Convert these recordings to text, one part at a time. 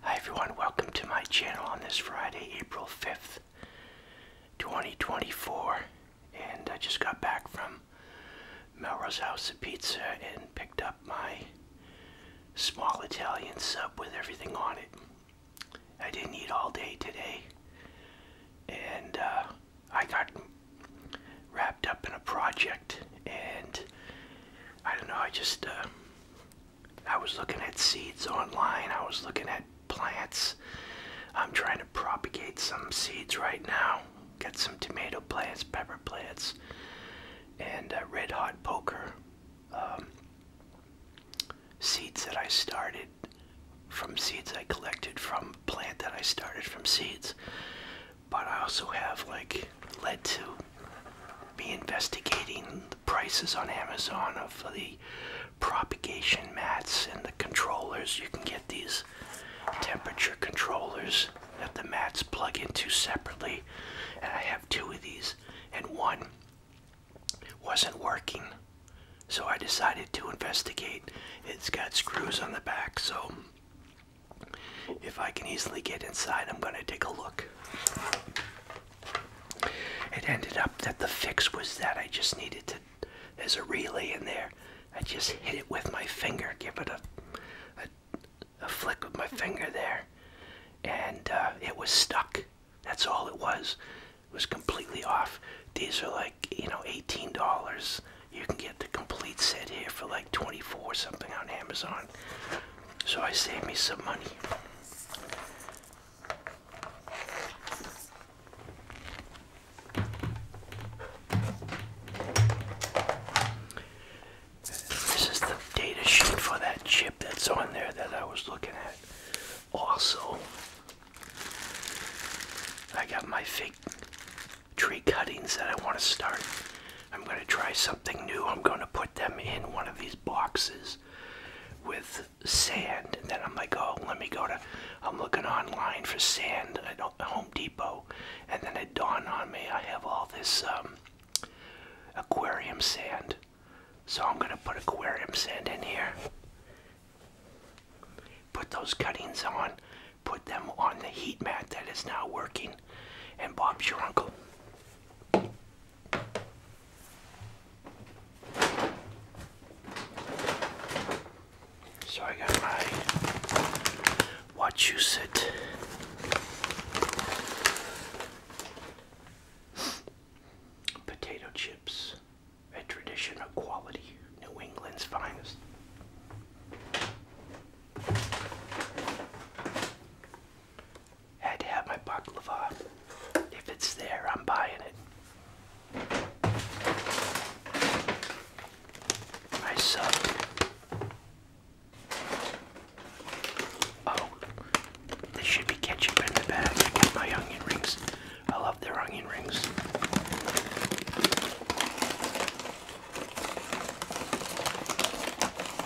Hi everyone, welcome to my channel on this Friday, April 5th, 2024. And I just got back from Melrose House of Pizza and picked up my small Italian sub with everything on it. I didn't eat all day today. And uh, I got wrapped up in a project and I don't know. I just uh, I was looking at seeds online. I was looking at plants. I'm trying to propagate some seeds right now. Get some tomato plants, pepper plants, and uh, red hot poker um, seeds that I started from seeds I collected from plant that I started from seeds. But I also have like lead to be investigating the prices on Amazon of the propagation mats and the controllers. You can get these temperature controllers that the mats plug into separately. And I have two of these, and one wasn't working. So I decided to investigate. It's got screws on the back, so if I can easily get inside, I'm going to take a look. It ended up that the fix was that I just needed to, there's a relay in there. I just hit it with my finger, give it a, a, flick with my finger there, and uh, it was stuck. That's all it was. It was completely off. These are like, you know, $18. You can get the complete set here for like 24 or something on Amazon. So I saved me some money. This is the data sheet for that chip that's on there that I was looking at. Also, I got my fake tree cuttings that I want to start I'm going to try something new. I'm going to put them in one of these boxes with sand. And then I'm like, oh, let me go to. I'm looking online for sand at Home Depot. And then it dawned on me I have all this um, aquarium sand. So I'm going to put aquarium sand in here. Put those cuttings on. Put them on the heat mat that is now working. And Bob's your uncle. So I got my watch you sit. Potato chips, a tradition of quality, New England's finest. Had to have my baklava. If it's there, I'm buying it. I sub. Oh, this should be ketchup in the bag. I got my onion rings. I love their onion rings.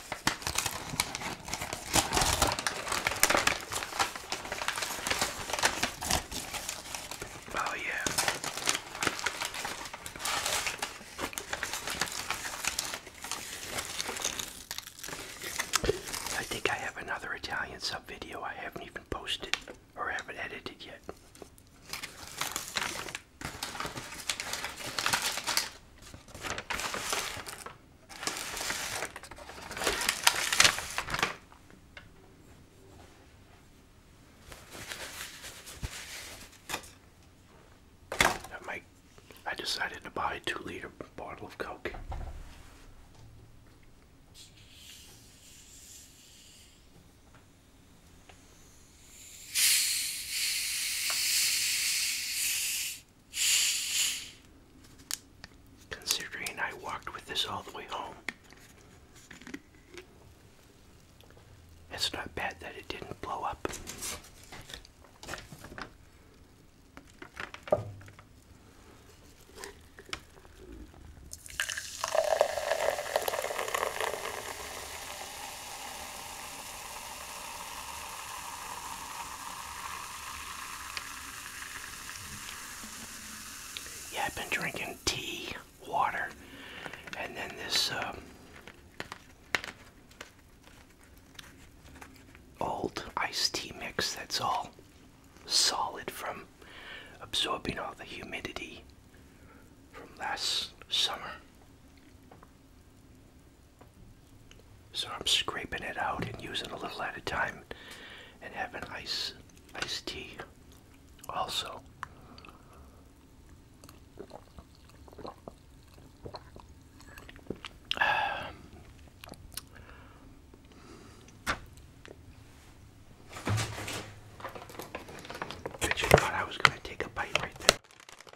Oh, yeah. I think I have another Italian sub video I haven't even posted or haven't edited yet. My, I decided to buy a two liter bottle of Coke. Considering I walked with this all the way home, it's not bad that it didn't blow up. Yeah, I've been drinking tea, water, and then this um, old iced tea mix that's all solid from absorbing all the humidity from last summer. So I'm scraping it out and using a little at a time and having ice ice tea also. Bet you thought I was going to take a bite right there.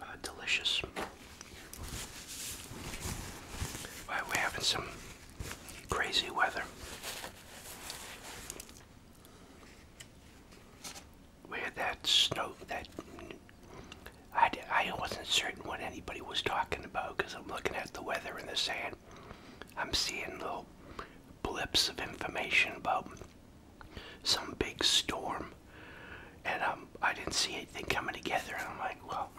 Uh, delicious. Well, we're having some crazy weather where that snow that I, I wasn't certain what anybody was talking about because I'm looking at the weather and the sand. I'm seeing little blips of information about some big storm, and um, I didn't see anything coming together. And I'm like, well,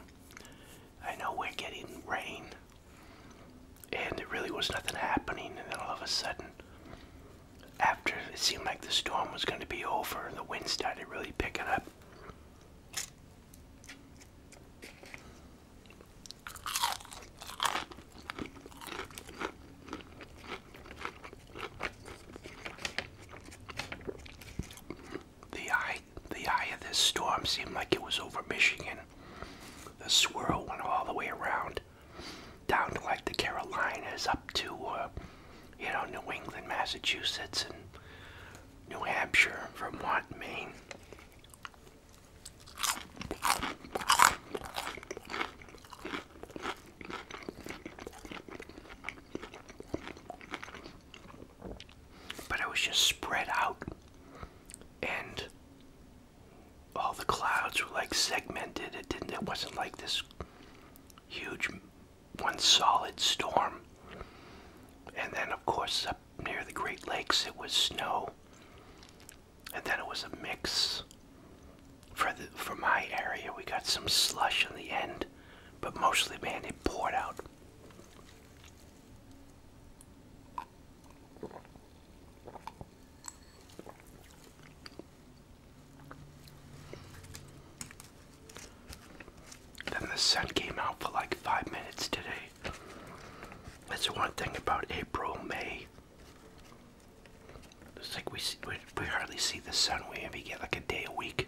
I know we're getting rain, and there really was nothing happening. And then all of a sudden, after it seemed like the storm was going to be over the wind started really picking up. The eye, the eye of this storm seemed like it was over Michigan. The swirl went all the way around down to like the Carolinas, up to uh, you know New England, Massachusetts, and New Hampshire, Vermont, Maine. But it was just spread out and all the clouds were like segmented. It didn't. It wasn't like this huge one solid storm. And then, of course, up near the Great Lakes, it was snow. And then it was a mix. For the for my area, we got some slush in the end, but mostly, man, it poured out. Then the sun came out for like five minutes today. That's one thing about April, May. It's like we, we, hardly see the sun. We only get like a day a week.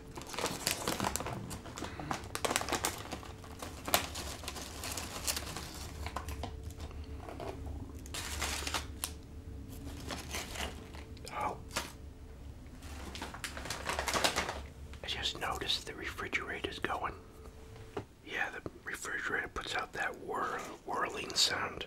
Oh. I just noticed the refrigerator is going. Yeah, the refrigerator puts out that whir whirling sound.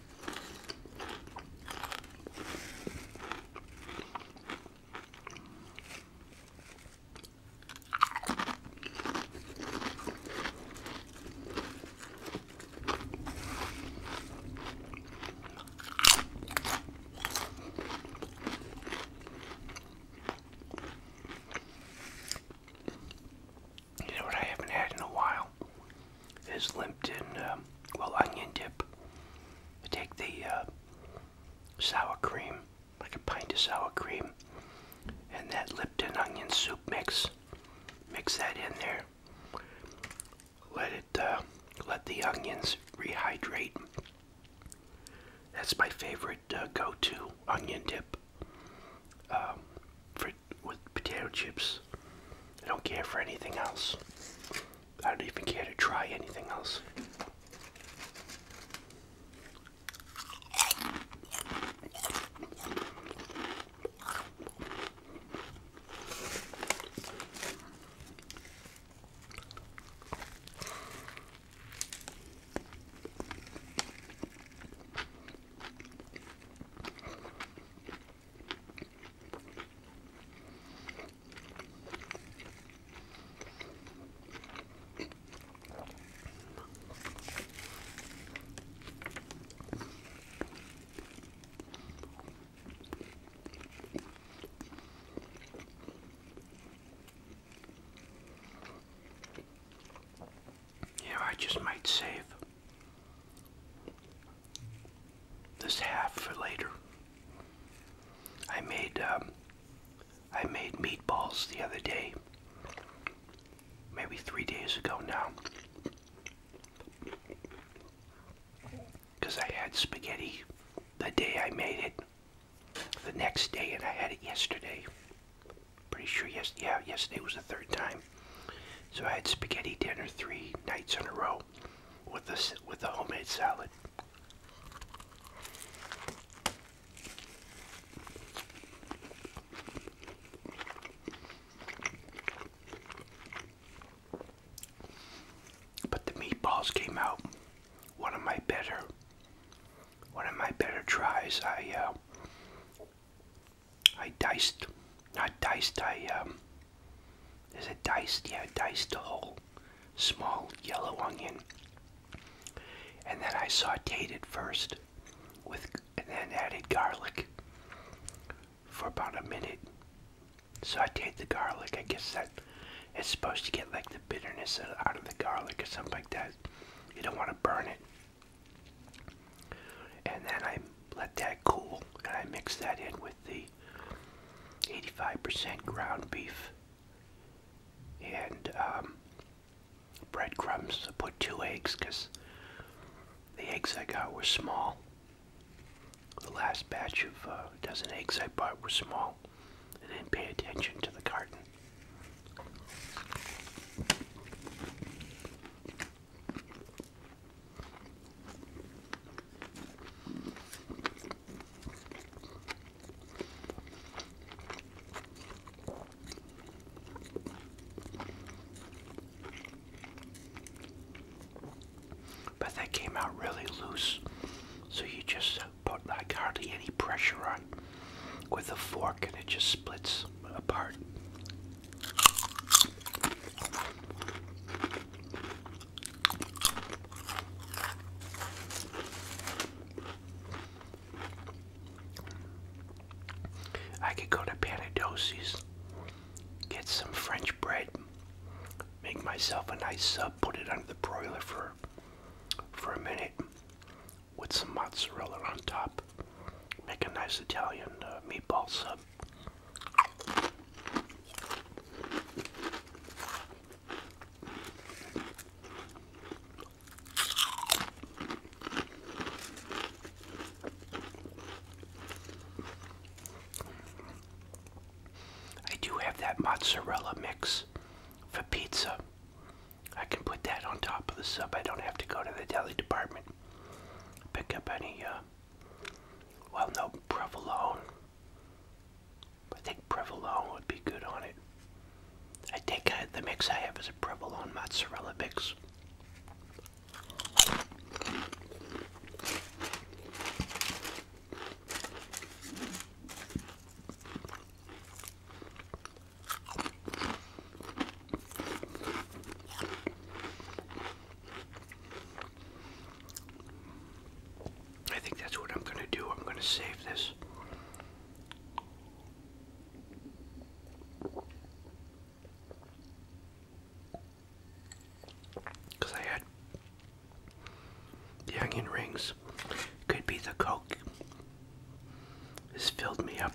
You know what I haven't had in a while? is limped in, um, well, onion dip. take the uh, sour cream, like a pint of sour cream, and that Lipton onion soup mix. Mix that in there. Let it, uh, let the onions rehydrate. That's my favorite uh, go-to onion dip um, for, with potato chips. I don't care for anything else. I don't even care to try anything else. Yeah, I just might save this half for later. I made um, I made meatballs the other day, maybe three days ago now, because I had spaghetti the day I made it, the next day, and I had it yesterday. Pretty sure yes, yeah, yesterday was the third time. So I had spaghetti dinner three nights in a row with this with the homemade salad. But the meatballs came out one of my better one of my better tries. I uh, I diced, not diced. I um, is it diced? Yeah, diced whole. Small yellow onion. And then I sauteed it first with and then added garlic for about a minute. Sauteed the garlic. I guess that it's supposed to get like the bitterness out of the garlic or something like that. You don't want to burn it. And then I let that cool and I mix that in with the 85% ground beef and um, breadcrumbs. I put two eggs because the eggs I got were small. The last batch of uh, dozen eggs I bought were small. And then pay attention to the carton. But that came out really loose, so you just put like hardly any pressure on with a fork and it just splits apart. I could go to Panadosi's, get some French bread, make myself a nice sub, put it under the broiler for for a minute with some mozzarella on top, make a nice Italian uh, meatball sub. I do have that mozzarella mix for pizza. I can put that on top of the sub. I don't have to go to the deli department. Pick up any, uh, well, no provolone I think provolone would be good on it. I think uh, the mix I have is a provolone mozzarella mix. I think that's what I'm going to do. I'm going to save this. Because I had the onion rings. Could be the Coke. This filled me up.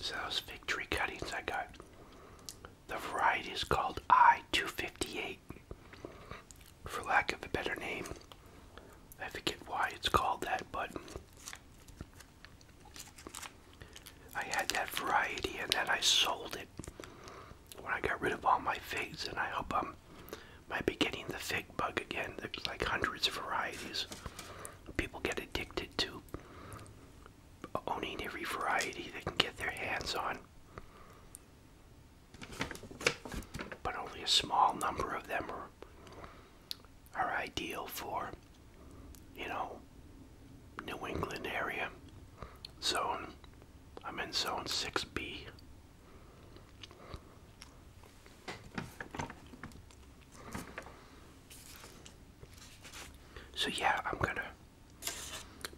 So those fig tree cuttings I got. The variety is called I-258. For lack of a better name. I forget why it's called that, but I had that variety and then I sold it when I got rid of all my figs, and I hope I'm might be getting the fig bug again. There's like hundreds of varieties. People get addicted to owning every variety they can get their hands on. But only a small number of them are ideal for, you know, New England area. So I'm in zone 6B. So yeah, I'm gonna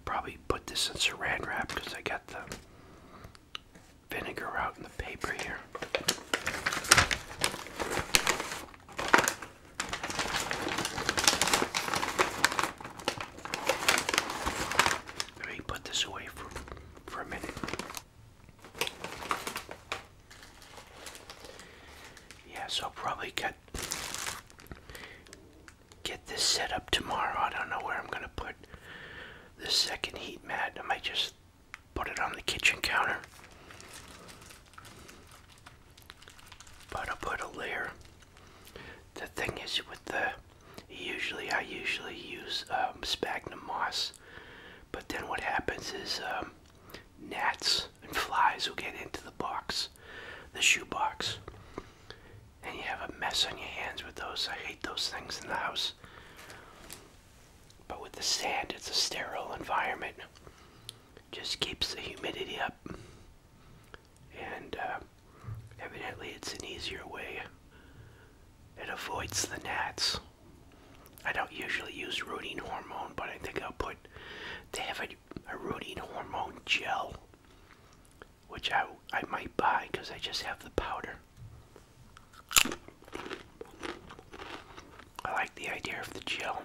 probably put this in saran wrap because I got the vinegar out in the paper here. Let me put this away for for a minute. Yeah, so I'll probably get get this set up tomorrow. I don't know where I'm gonna put the second heat mat. I might just put it on the kitchen counter. But i put a layer. The thing is with the Usually, I usually use um, sphagnum moss, but then what happens is um, gnats and flies will get into the box, the shoe box, and you have a mess on your hands with those. I hate those things in the house. But with the sand, it's a sterile environment. Just keeps the humidity up and uh, evidently it's an easier way. It avoids the gnats. I don't usually use rooting hormone, but I think I'll put. They have a, a rooting hormone gel, which I, I might buy because I just have the powder. I like the idea of the gel.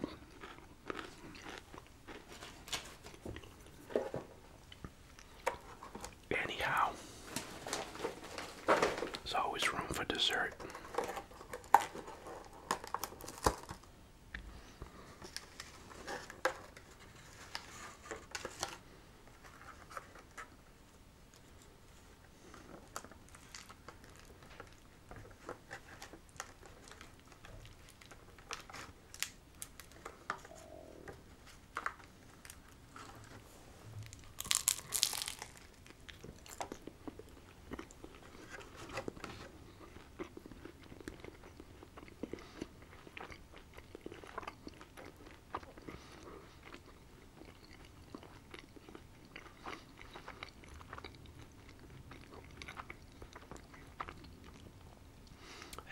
Anyhow, there's always room for dessert.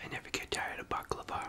I never get tired of baklava.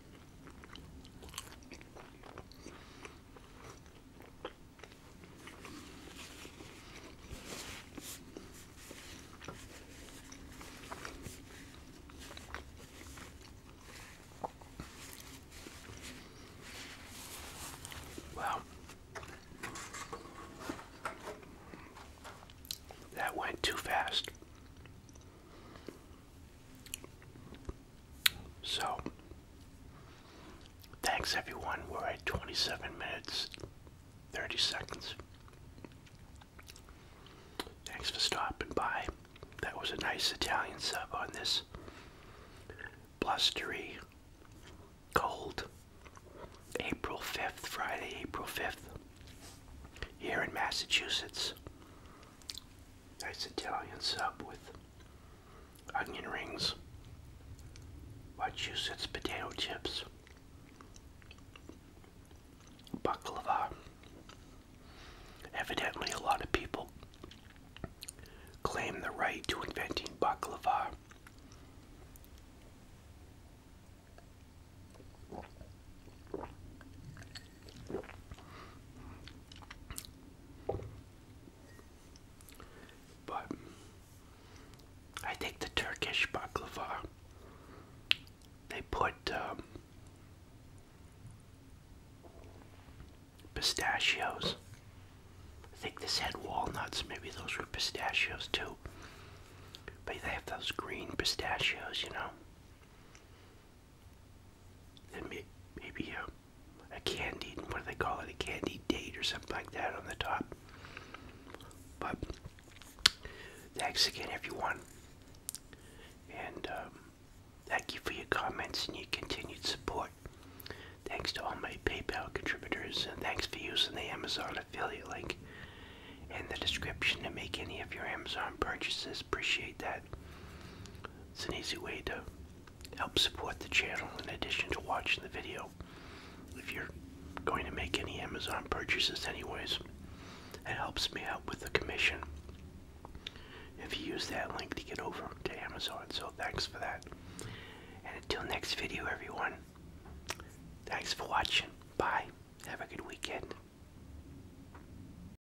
Well, that went too fast. So, thanks everyone. We're at 27 minutes, 30 seconds. Thanks for stopping by. That was a nice Italian sub on this blustery, cold April 5th, Friday, April 5th, here in Massachusetts nice Italian sub with onion rings, Massachusetts potato chips, baklava. Evidently, a lot of people claim the right to inventing baklava. But I take the Turkish baklava. They put um, pistachios. I think this had walnuts. Maybe those were pistachios too. But they have those green pistachios, you know and maybe a, a candied, what do they call it, a candied date or something like that on the top. But thanks again, everyone. And um, thank you for your comments and your continued support. Thanks to all my PayPal contributors, and thanks for using the Amazon affiliate link in the description to make any of your Amazon purchases appreciate that. It's an easy way to help support the channel in addition to watching the video. If you're going to make any Amazon purchases anyways, it helps me out with the commission if you use that link to get over to Amazon. So thanks for that. And until next video, everyone, thanks for watching. Bye. Have a good weekend.